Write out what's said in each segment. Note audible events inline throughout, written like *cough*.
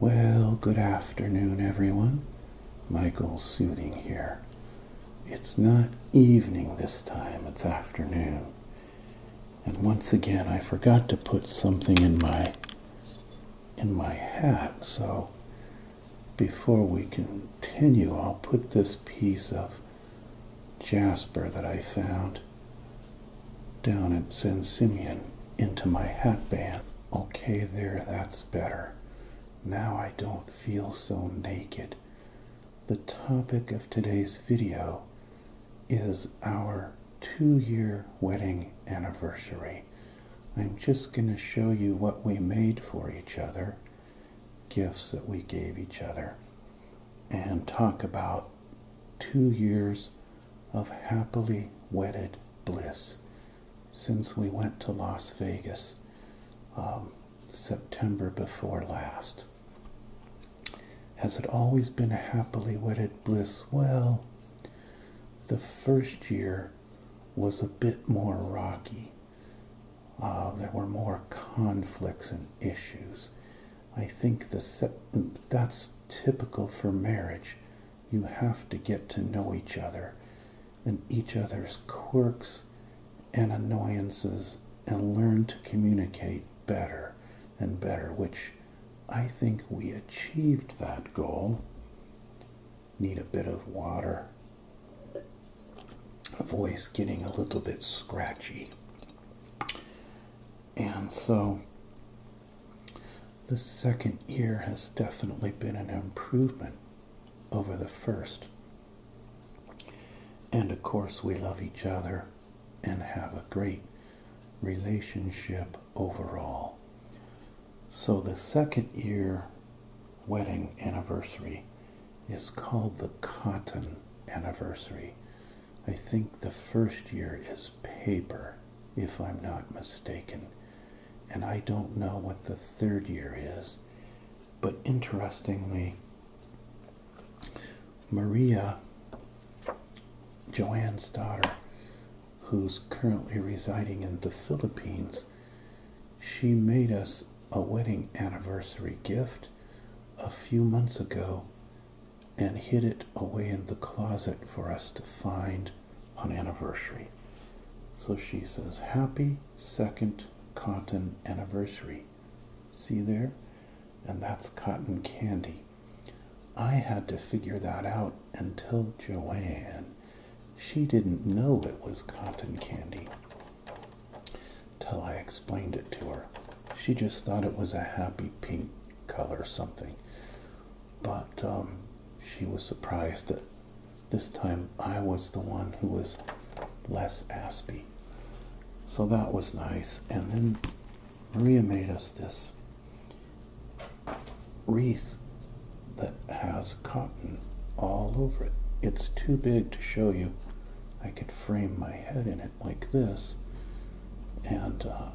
Well, good afternoon, everyone. Michael's Soothing here. It's not evening this time, it's afternoon. And once again, I forgot to put something in my in my hat, so before we continue, I'll put this piece of jasper that I found down at San Simeon into my hatband. Okay, there, that's better. Now I don't feel so naked. The topic of today's video is our two-year wedding anniversary. I'm just going to show you what we made for each other, gifts that we gave each other, and talk about two years of happily wedded bliss since we went to Las Vegas um, September before last. Has it always been happily wedded bliss? Well, the first year was a bit more rocky. Uh, there were more conflicts and issues. I think the that's typical for marriage. You have to get to know each other and each other's quirks and annoyances and learn to communicate better and better, which I think we achieved that goal. Need a bit of water. A voice getting a little bit scratchy. And so the second year has definitely been an improvement over the first. And of course, we love each other and have a great relationship overall. So, the second year wedding anniversary is called the cotton anniversary. I think the first year is paper, if I'm not mistaken. And I don't know what the third year is. But interestingly, Maria, Joanne's daughter, who's currently residing in the Philippines, she made us a wedding anniversary gift a few months ago and hid it away in the closet for us to find on anniversary. So she says, Happy second cotton anniversary. See there? And that's cotton candy. I had to figure that out until Joanne. She didn't know it was cotton candy till I explained it to her. She just thought it was a happy pink color something but um, she was surprised that this time I was the one who was less aspie. So that was nice. And then Maria made us this wreath that has cotton all over it. It's too big to show you. I could frame my head in it like this. And uh,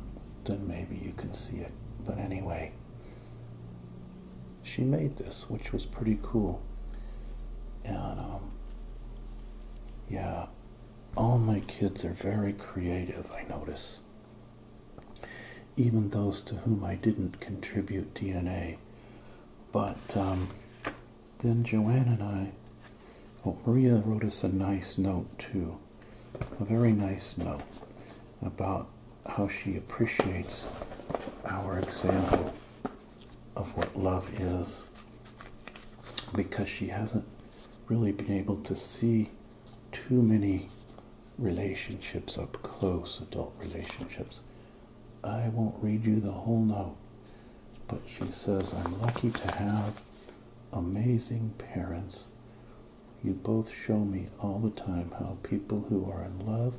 then maybe you can see it. But anyway, she made this, which was pretty cool. Um, yeah, all my kids are very creative, I notice. Even those to whom I didn't contribute DNA. But um, then Joanne and I, well, Maria wrote us a nice note too a very nice note about how she appreciates our example of what love is because she hasn't really been able to see too many relationships up close, adult relationships. I won't read you the whole note, but she says, I'm lucky to have amazing parents you both show me all the time how people who are in love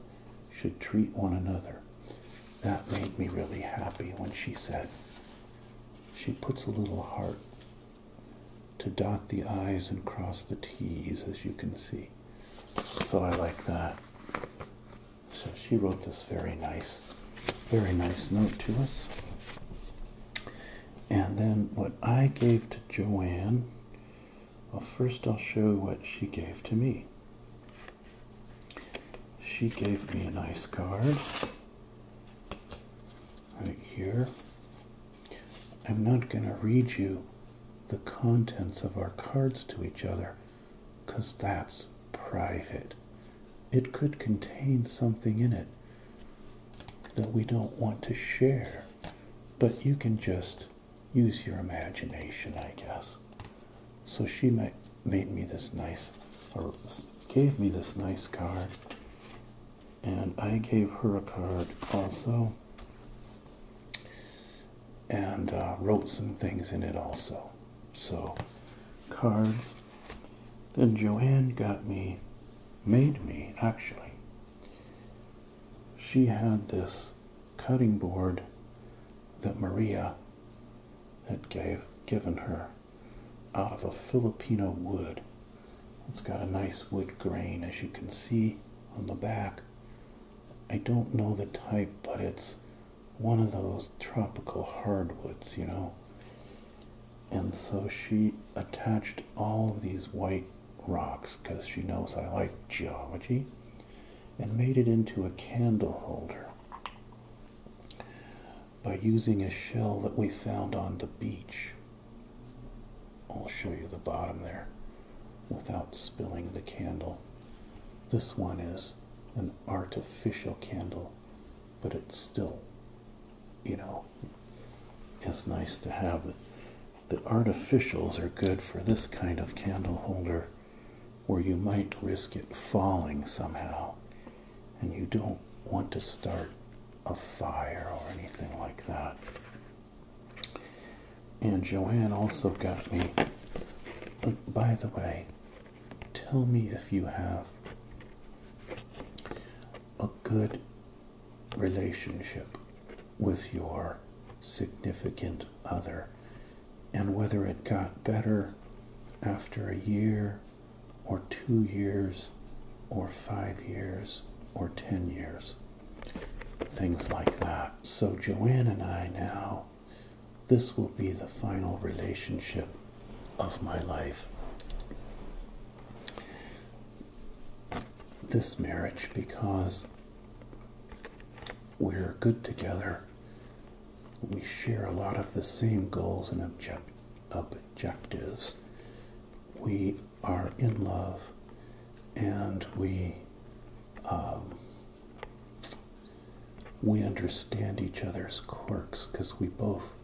should treat one another. That made me really happy when she said, she puts a little heart to dot the I's and cross the T's, as you can see. So I like that. So she wrote this very nice, very nice note to us. And then what I gave to Joanne, well, first I'll show what she gave to me. She gave me a nice card right here. I'm not going to read you the contents of our cards to each other because that's private. It could contain something in it that we don't want to share. But you can just use your imagination, I guess. So she made me this nice, or gave me this nice card. And I gave her a card also. And uh, wrote some things in it also. So, cards then Joanne got me, made me actually. She had this cutting board that Maria had gave given her out of a Filipino wood. It's got a nice wood grain as you can see on the back. I don't know the type, but it's one of those tropical hardwoods, you know and so she attached all of these white rocks because she knows I like geology and made it into a candle holder by using a shell that we found on the beach. I'll show you the bottom there without spilling the candle. This one is an artificial candle, but it's still you know, it's nice to have. it. The artificials are good for this kind of candle holder where you might risk it falling somehow and you don't want to start a fire or anything like that. And Joanne also got me, by the way, tell me if you have a good relationship with your significant other and whether it got better after a year or two years or five years or ten years. Things like that. So Joanne and I now, this will be the final relationship of my life. This marriage, because we're good together, we share a lot of the same goals and objectives. We are in love and we um, we understand each other's quirks because we both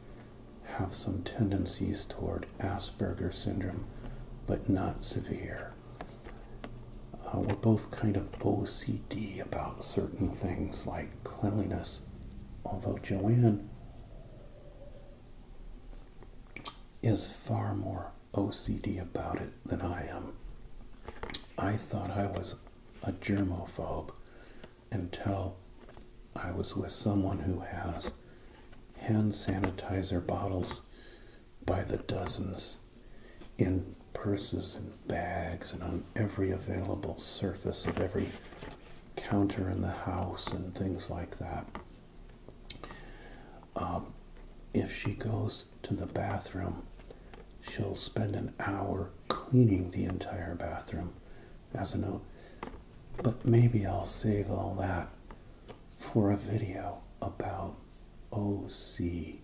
have some tendencies toward Asperger's syndrome, but not severe. Uh, we're both kind of OCD about certain things like cleanliness, although Joanne is far more OCD about it than I am. I thought I was a germophobe until I was with someone who has hand sanitizer bottles by the dozens in purses and bags and on every available surface of every counter in the house and things like that. Um, if she goes to the bathroom, she'll spend an hour cleaning the entire bathroom as a note. But maybe I'll save all that for a video about OCD.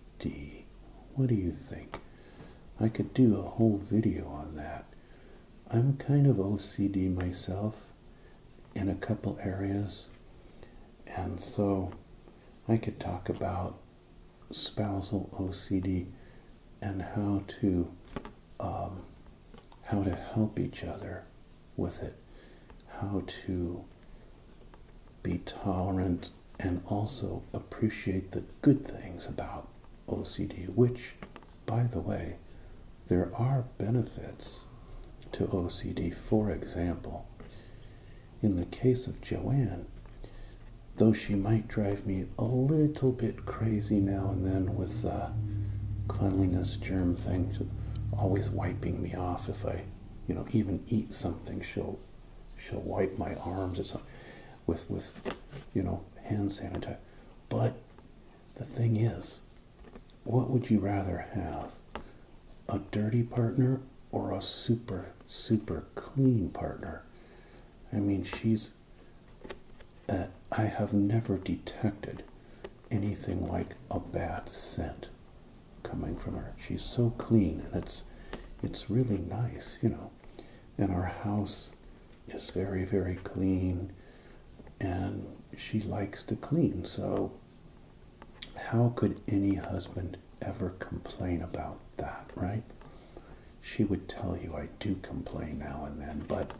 What do you think? I could do a whole video on that. I'm kind of OCD myself in a couple areas, and so I could talk about spousal OCD and how to um, how to help each other with it, how to be tolerant and also appreciate the good things about OCD, which, by the way, there are benefits to OCD. For example, in the case of Joanne, though she might drive me a little bit crazy now and then with the uh, cleanliness germ thing, always wiping me off if I, you know, even eat something. She'll she'll wipe my arms or something with with you know hand sanitizer. But the thing is, what would you rather have? A dirty partner or a super super clean partner? I mean, she's I have never detected anything like a bad scent coming from her. She's so clean and it's it's really nice, you know. And our house is very, very clean and she likes to clean, so how could any husband ever complain about that, right? she would tell you I do complain now and then, but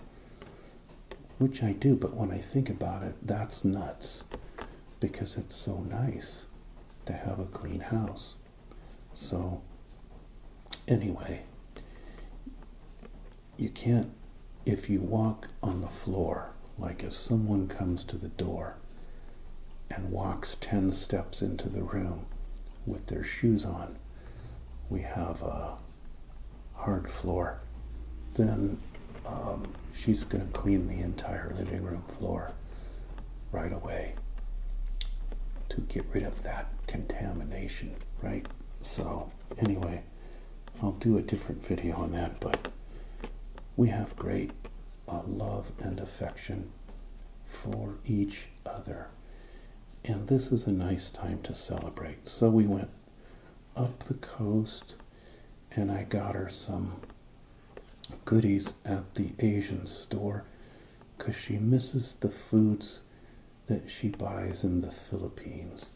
which I do, but when I think about it, that's nuts because it's so nice to have a clean house. So, anyway, you can't, if you walk on the floor, like if someone comes to the door and walks 10 steps into the room with their shoes on, we have a hard floor, then um, she's going to clean the entire living room floor right away to get rid of that contamination, right? So, anyway, I'll do a different video on that, but we have great uh, love and affection for each other and this is a nice time to celebrate. So we went up the coast, and I got her some goodies at the Asian store because she misses the foods that she buys in the Philippines.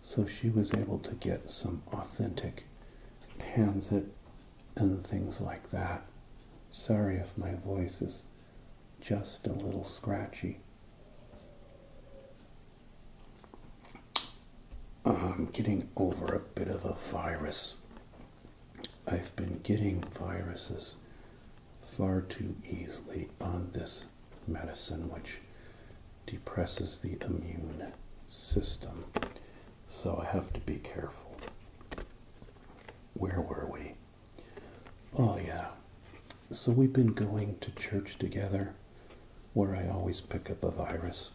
So she was able to get some authentic pansit and things like that. Sorry if my voice is just a little scratchy. I'm getting over a bit of a virus. I've been getting viruses far too easily on this medicine, which depresses the immune system. So I have to be careful. Where were we? Oh, yeah. So we've been going to church together where I always pick up a virus.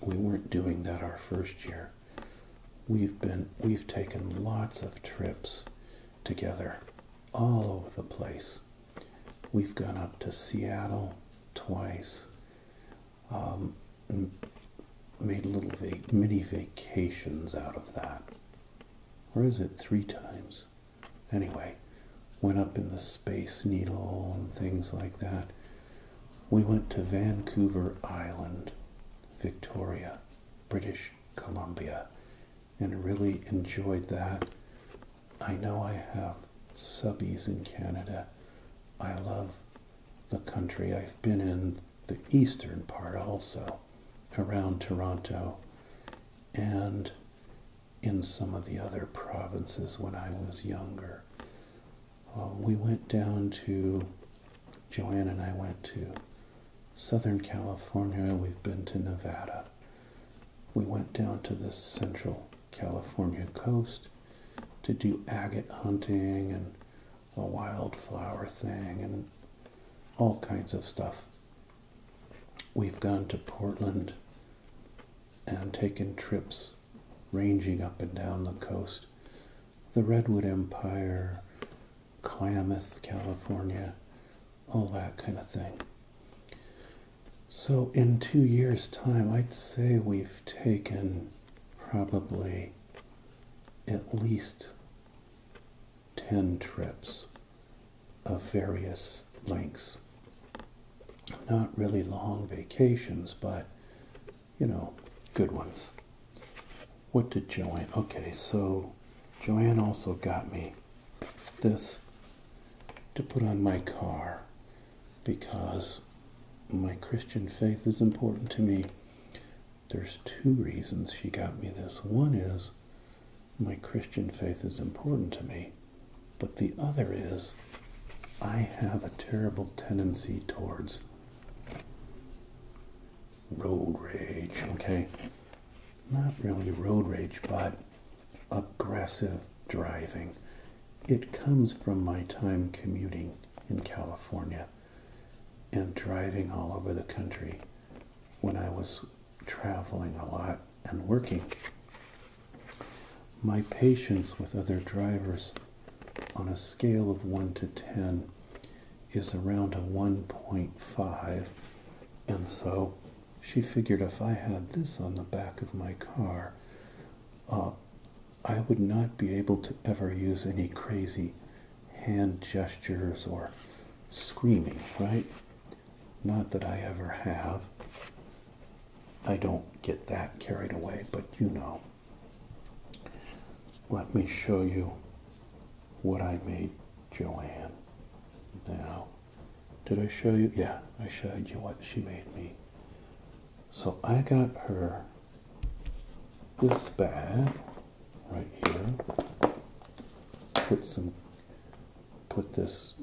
We weren't doing that our first year. We've been we've taken lots of trips together all over the place. We've gone up to Seattle twice. Um, made little vac mini vacations out of that or is it three times? Anyway, went up in the Space Needle and things like that. We went to Vancouver Island, Victoria, British Columbia, and really enjoyed that. I know I have subbies in Canada. I love the country. I've been in the eastern part also around Toronto and in some of the other provinces when I was younger. Uh, we went down to, Joanne and I went to Southern California, we've been to Nevada. We went down to the Central California coast to do agate hunting and a wildflower thing and all kinds of stuff. We've gone to Portland and taken trips ranging up and down the coast. The Redwood Empire, Klamath, California, all that kind of thing. So in two years' time, I'd say we've taken probably at least 10 trips of various lengths. Not really long vacations, but you know, good ones. What did Joanne? Okay, so Joanne also got me this to put on my car because my Christian faith is important to me there's two reasons she got me this. One is my Christian faith is important to me, but the other is I have a terrible tendency towards road rage, okay? Not really road rage, but aggressive driving. It comes from my time commuting in California and driving all over the country when I was traveling a lot and working. My patience with other drivers on a scale of 1 to 10 is around a 1.5, and so she figured if I had this on the back of my car, uh, I would not be able to ever use any crazy hand gestures or screaming, right? Not that I ever have. I don't get that carried away, but you know. Let me show you what I made Joanne now. Did I show you? Yeah, I showed you what she made me. So I got her this bag right here. Put some, put this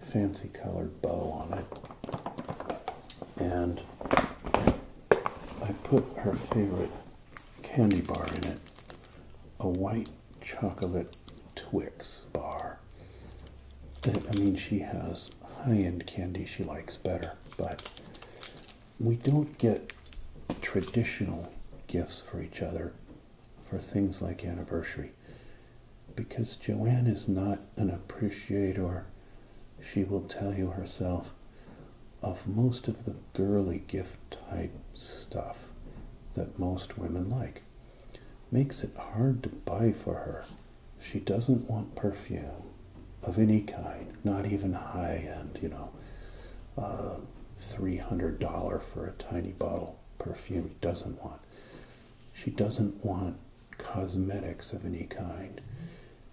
fancy colored bow on it. And I put her favorite candy bar in it, a white chocolate Twix bar. I mean, she has high-end candy she likes better, but we don't get traditional gifts for each other for things like anniversary because Joanne is not an appreciator, she will tell you herself, of most of the girly gift type stuff that most women like. Makes it hard to buy for her. She doesn't want perfume of any kind, not even high end, you know, uh, $300 for a tiny bottle perfume doesn't want. She doesn't want cosmetics of any kind.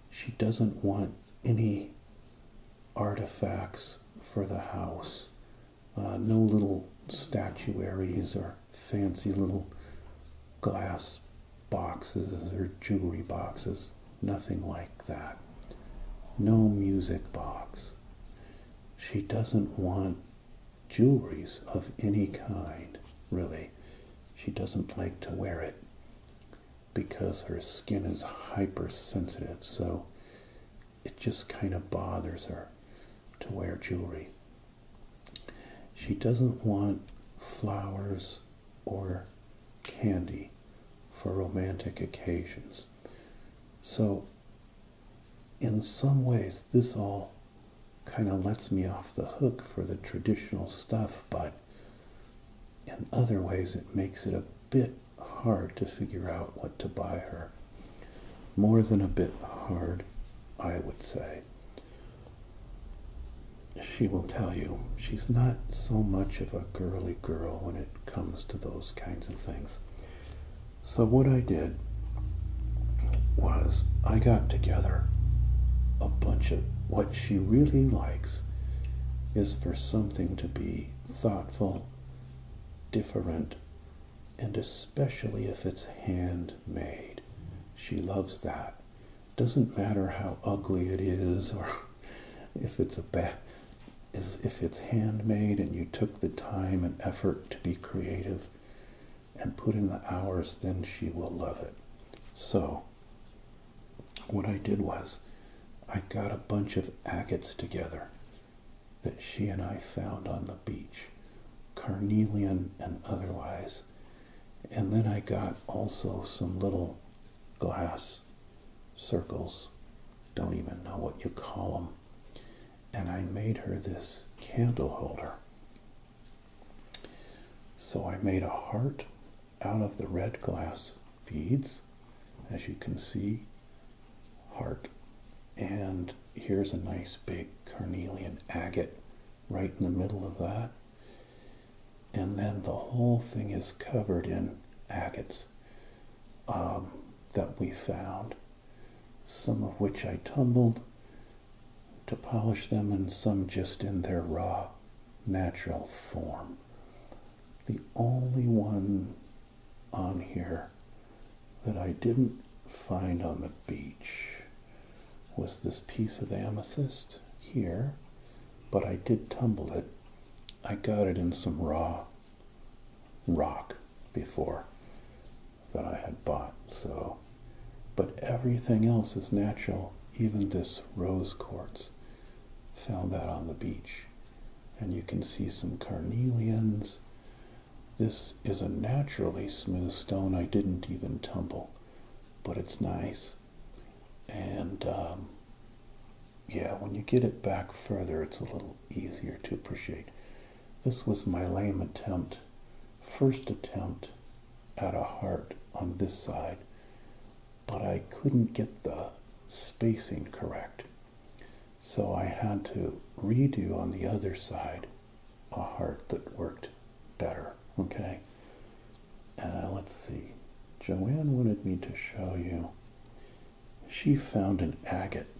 She doesn't want any artifacts for the house. Uh, no little statuaries or fancy little glass boxes or jewelry boxes nothing like that. No music box. She doesn't want jewelries of any kind, really. She doesn't like to wear it because her skin is hypersensitive, so it just kind of bothers her to wear jewelry. She doesn't want flowers or candy for romantic occasions. So, in some ways, this all kind of lets me off the hook for the traditional stuff, but in other ways, it makes it a bit hard to figure out what to buy her. More than a bit hard, I would say she will tell you she's not so much of a girly girl when it comes to those kinds of things. So, what I did was I got together a bunch of what she really likes is for something to be thoughtful, different, and especially if it's handmade. She loves that. Doesn't matter how ugly it is or if it's a is if it's handmade and you took the time and effort to be creative and put in the hours, then she will love it. So what I did was I got a bunch of agates together that she and I found on the beach, carnelian and otherwise. And then I got also some little glass circles, don't even know what you call them. And I made her this candle holder. So I made a heart out of the red glass beads, as you can see, heart. And here's a nice big carnelian agate right in the middle of that and then the whole thing is covered in agates um, that we found, some of which I tumbled to polish them, and some just in their raw, natural form. The only one on here that I didn't find on the beach was this piece of amethyst here but I did tumble it. I got it in some raw rock before that I had bought, so. But everything else is natural, even this rose quartz. Found that on the beach. And you can see some carnelians. This is a naturally smooth stone. I didn't even tumble, but it's nice. And um, yeah, when you get it back further, it's a little easier to appreciate. This was my lame attempt, first attempt at a heart on this side, but I couldn't get the spacing correct. So I had to redo on the other side a heart that worked better, okay? Uh, let's see, Joanne wanted me to show you. She found an agate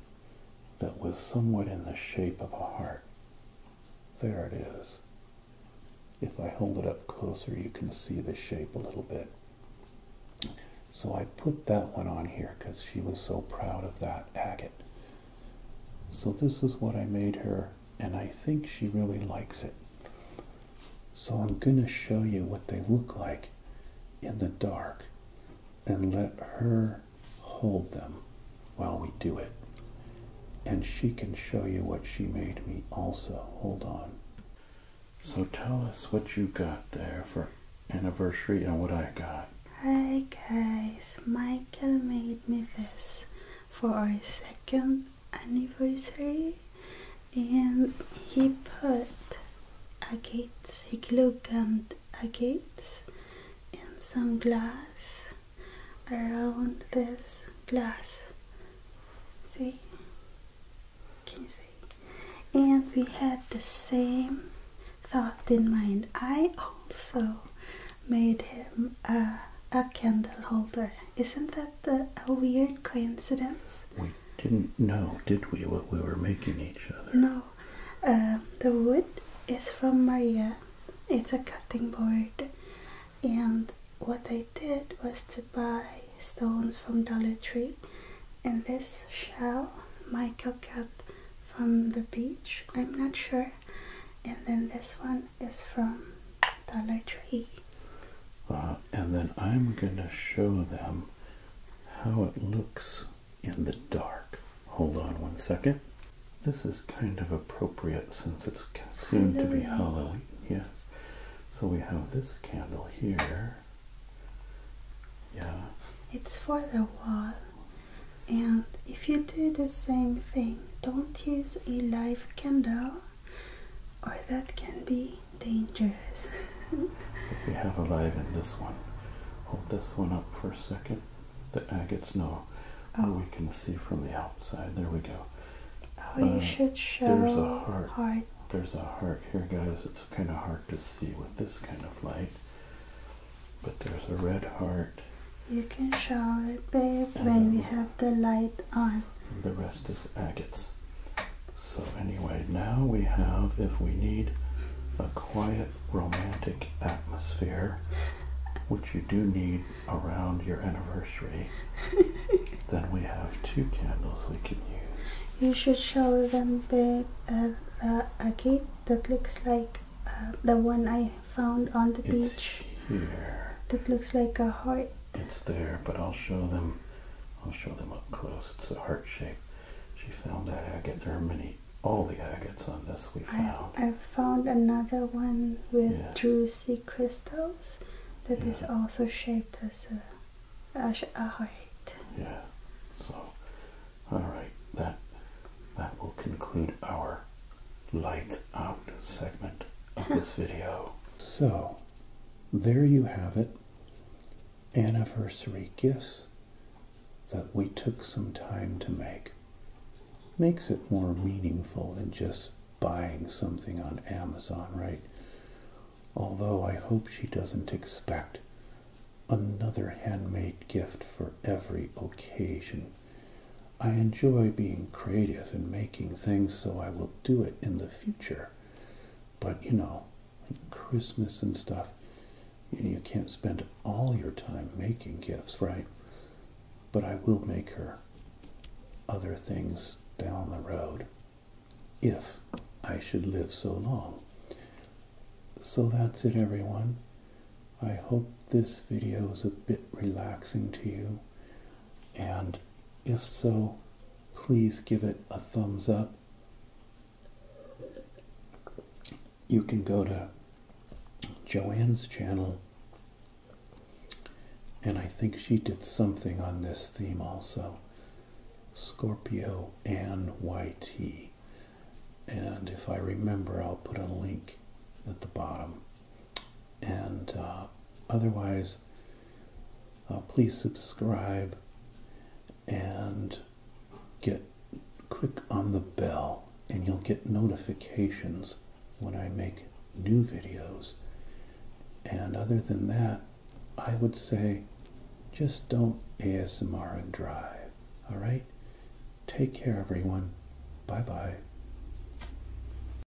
that was somewhat in the shape of a heart. There it is. If I hold it up closer, you can see the shape a little bit. So I put that one on here because she was so proud of that agate. So this is what I made her, and I think she really likes it. So I'm going to show you what they look like in the dark and let her hold them while we do it. And she can show you what she made me also. Hold on. So tell us what you got there for anniversary and what I got. Hi guys, Michael made me this for our second anniversary and he put agates, he glue gummed agates and some glass around this glass. See? Can you see? And we had the same thought in mind. I also made him a, a candle holder. Isn't that that a weird coincidence? We didn't know, did we, what we were making each other? No. Uh, the wood is from Maria. It's a cutting board. And what I did was to buy stones from Dollar Tree. And this shell Michael got from the beach. I'm not sure. And then this one is from Dollar Tree. Uh, and then I'm going to show them how it looks in the dark. Hold on one second. This is kind of appropriate since it's soon to be Halloween. Yes. So we have this candle here. Yeah. It's for the wall. And if you do the same thing, don't use a live candle or that can be dangerous. we have a alive in this one. Hold this one up for a second. The agates know oh. we can see from the outside. There we go. Oh, you uh, should show there's a heart. There's a heart here, guys. It's kind of hard to see with this kind of light. But there's a red heart. You can show it, babe, when we have the light on the rest is agates. So anyway, now we have, if we need a quiet romantic atmosphere, which you do need around your anniversary, *laughs* then we have two candles we can use. You should show them a gate uh, uh, that looks like uh, the one I found on the beach. That looks like a heart it's there, but I'll show them. I'll show them up close. It's a heart shape. She found that agate. There are many, all the agates on this we found. I, I found another one with yeah. juicy crystals that is also shaped as a, as a heart. Yeah. So, all right, that that will conclude our light out segment of this *laughs* video. So there you have it anniversary gifts that we took some time to make. Makes it more meaningful than just buying something on Amazon, right? Although I hope she doesn't expect another handmade gift for every occasion. I enjoy being creative and making things, so I will do it in the future. But you know, Christmas and stuff, you, you can't spend all your time making gifts, right? But I will make her other things down the road if I should live so long. So that's it, everyone. I hope this video is a bit relaxing to you. And if so, please give it a thumbs up. You can go to Joanne's channel, and I think she did something on this theme also. Scorpio and YT. And if I remember, I'll put a link at the bottom and uh, otherwise uh, please subscribe and get click on the bell and you'll get notifications when I make new videos and other than that I would say just don't ASMR and drive all right take care everyone bye bye